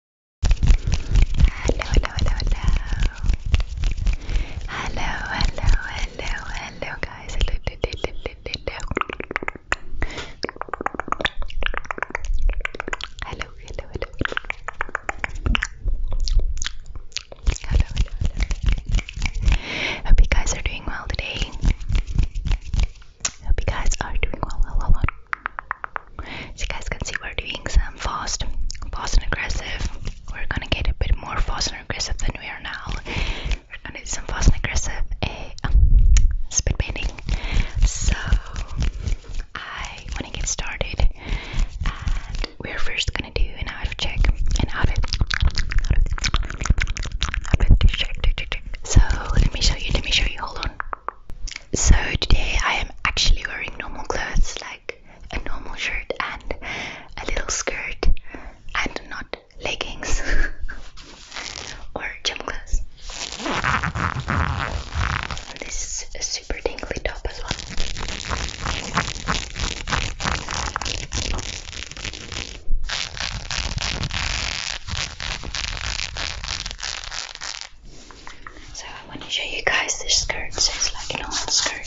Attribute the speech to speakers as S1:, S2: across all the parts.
S1: Hello, hello, hello, hello. Hello, hello, hello, hello, guys. Hello, hello, hello, hello. Hello, hello, hello. Hope you guys are doing well today. Hope you guys are doing well. Hello, hello. As you guys can see, we're doing some fast, fast and aggressive. We're gonna get a bit more fast and aggressive than we are now. We're gonna do some fast and aggressive uh, um, spit painting. So I wanna get started, and we're first gonna do an outfit check, an outfit,
S2: outfit check, check, check. So let me show you. Let me show you. Hold on. So today I am actually wearing normal clothes like a normal shirt and a little skirt and not leggings or gym clothes. This is a super dangly top as well.
S1: So I want to show you guys this skirt. So it's like an old skirt.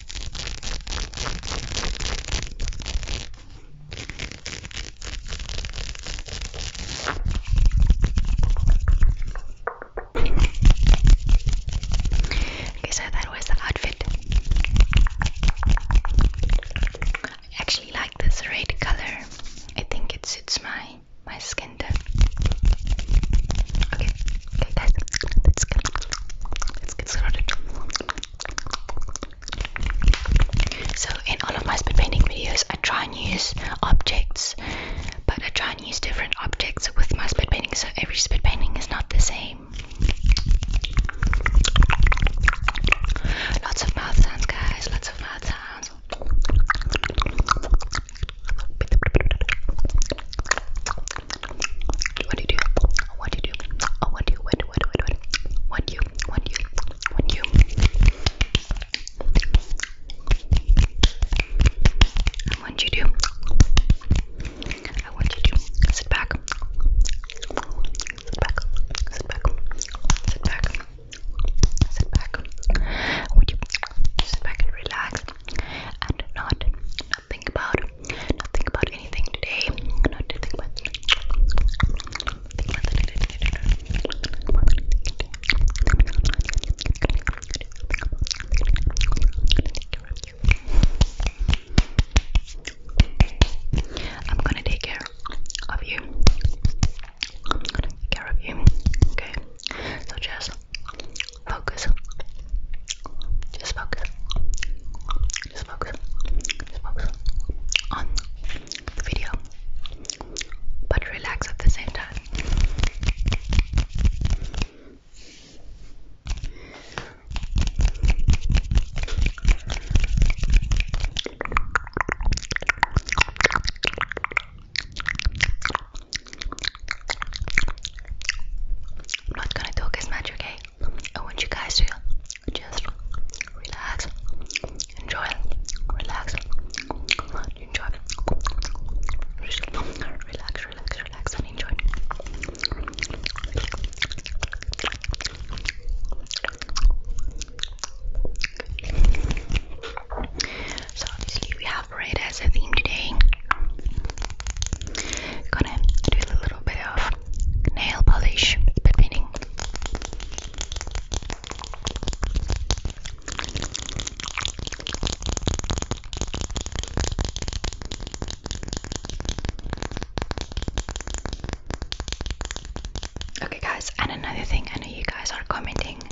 S2: Okay, so that was the outfit.
S1: I actually like this red color. I think it suits my my skin tone. Okay, okay guys, let's get, let's get started. So in all of my spin painting videos, I try and use objects, but I try and use different objects with my spit painting, so every spit painting is not the same. Lots of mouth sounds, guys. Lots of mouth sounds. What do you do? What do you do? Oh, what do you? What do what what what? What do you? What do you? What do you? I want you to. I want you to sit back. Sit back. Sit back. Sit back. Sit back. I want you to sit back and relax and not, not think about not think about anything today. Not to think about think about the day. Think about the day. I'm gonna take care of you. I'm gonna take care of you. Okay. So just Focus. Just focus. Just focus. Just focus on the video. But relax at the same time. I'm not gonna talk as much, okay? okay? I want you guys to just relax, enjoy, relax, enjoy, relax, relax, relax, and enjoy. So obviously we have red as a theme today. Gonna do a little bit of nail polish, but meaning. Okay, guys, and another thing I know you guys are commenting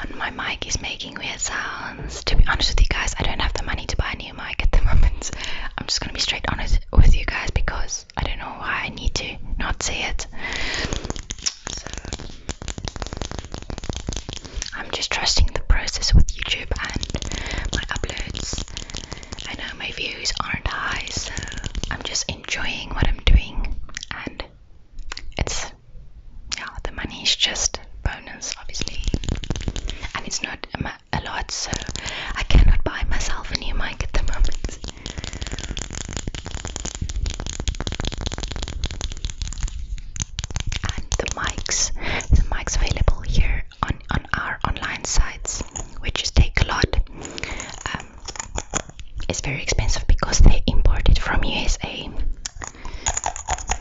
S1: on my mic is making weird sounds. To be honest with you guys, I don't have the money to buy Millennium Mike at the moment. I'm just gonna be straight honest with you guys because I don't know why I need to not say it. I'm just trusting the process with YouTube and my uploads. I know my views aren't high, so I'm just enjoying what I'm doing, and it's yeah, the money is just bonus, obviously, and it's not. a Um, a lot, so I cannot buy myself a new mic at the moment. the mics, the mics available here on on our online sites, which is take a lot. Um, it's very expensive because they import it from USA.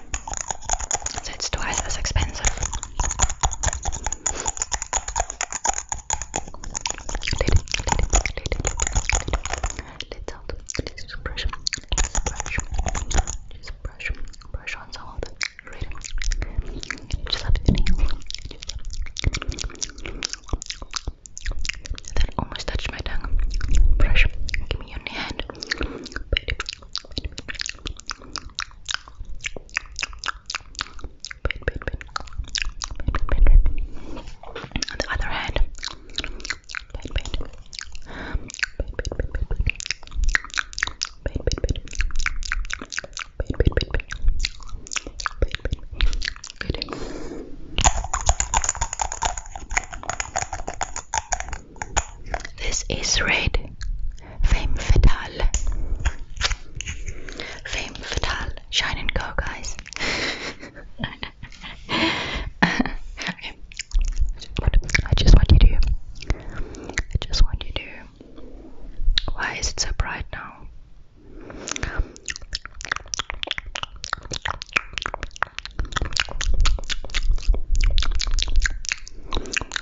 S1: So it's twice as expensive. Let's out. Let's just brush. Just brush. Just brush. Brush on some of the red. Just have to That almost touched my tongue. Brush. Give me your hand. Wait. Wait. Pin, pin, pin. Pin, pin, pin, pin. On the other hand, pin, pin. Pin, pin, pin, pin. Pin, pin, pin. Pin, pin, pin, pin. Good. This is red. Fame fatal. Fame fatal. Shine and go, guys. I just want you to. I just want you to. Why is it so bright now?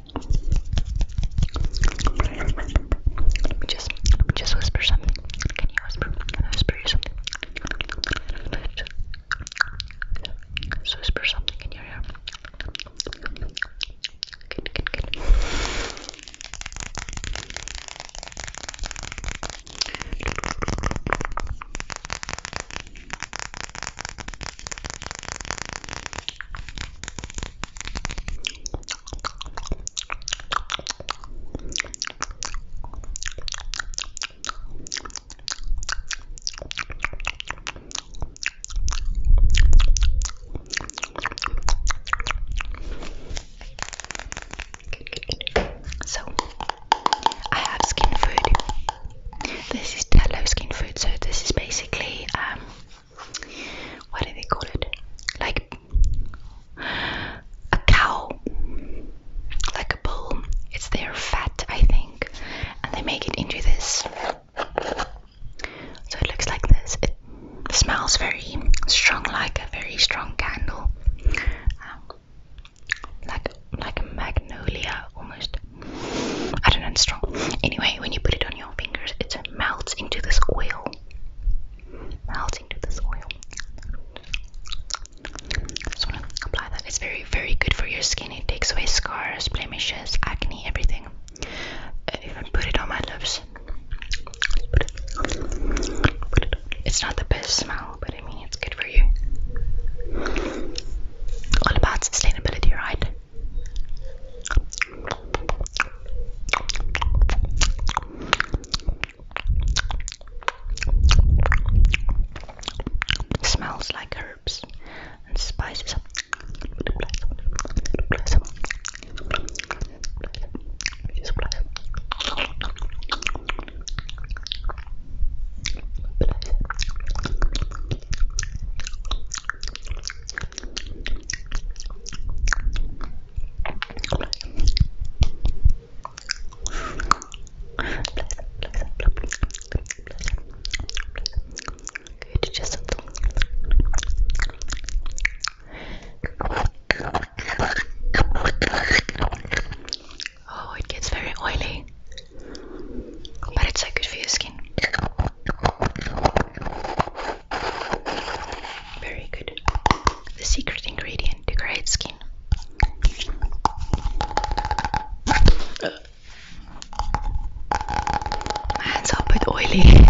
S1: Let me just, let me just whisper something. Can you whisper? Can I whisper you something? Just whisper something in your ear. Good, good, good. So, I have skin food. This is Tello skin food, so this is basically um, what do they call it? Like a cow, like a bull. It's their fat, I think, and they make it into this. So it looks like this. It smells very strong, like a very strong candle, um, like like a magnolia almost. I don't know, it's strong. Anyway, when you put it on your it melts into this oil. Melts into this oil. just want to apply that. It's very, very good for your skin. It takes away scars, blemishes, acne, everything. Uh, put it on my lips. it's not the best smell, but I mean, it's good for you. All about sustainability, right? Smells like herbs and spices. Kötü ceset. Oh, it gets very oily, but it's so good for your skin. Very good. The secret ingredient to great skin. My hands are a bit oily.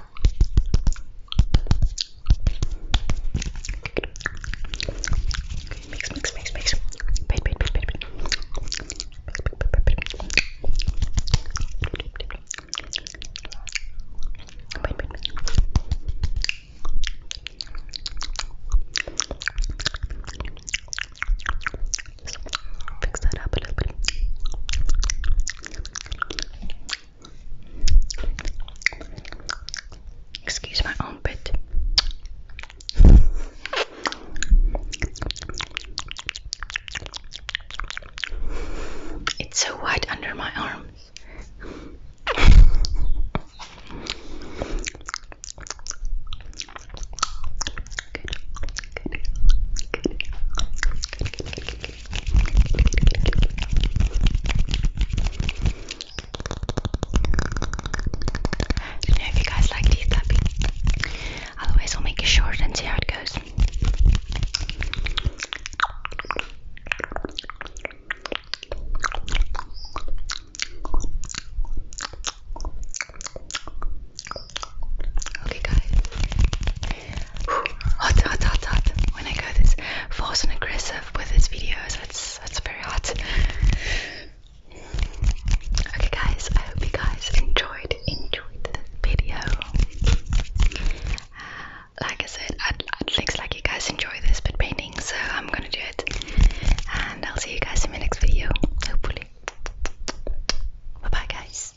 S1: Okay, mix, mix, mix, mix. Wait, wait, wait, wait, wait. Wait, wait, wait. Just fix that up a little bit. Excuse my armpit. It's so white under my arms. Good. Good. Good. Good. Good. Good. Good. Let me know if you guys like these clapping. Otherwise, I'll make it short and see how it goes. Okay, guys, hot, hot, hot, hot. When I go this force and aggressive with this videos, that's that's very hot. Okay, guys, I hope you guys enjoyed enjoyed the video. Uh, like I said, I'd, it looks like you guys enjoy this, but painting, so I'm gonna do it. And I'll see
S2: you guys in my next video, hopefully. Bye bye, guys.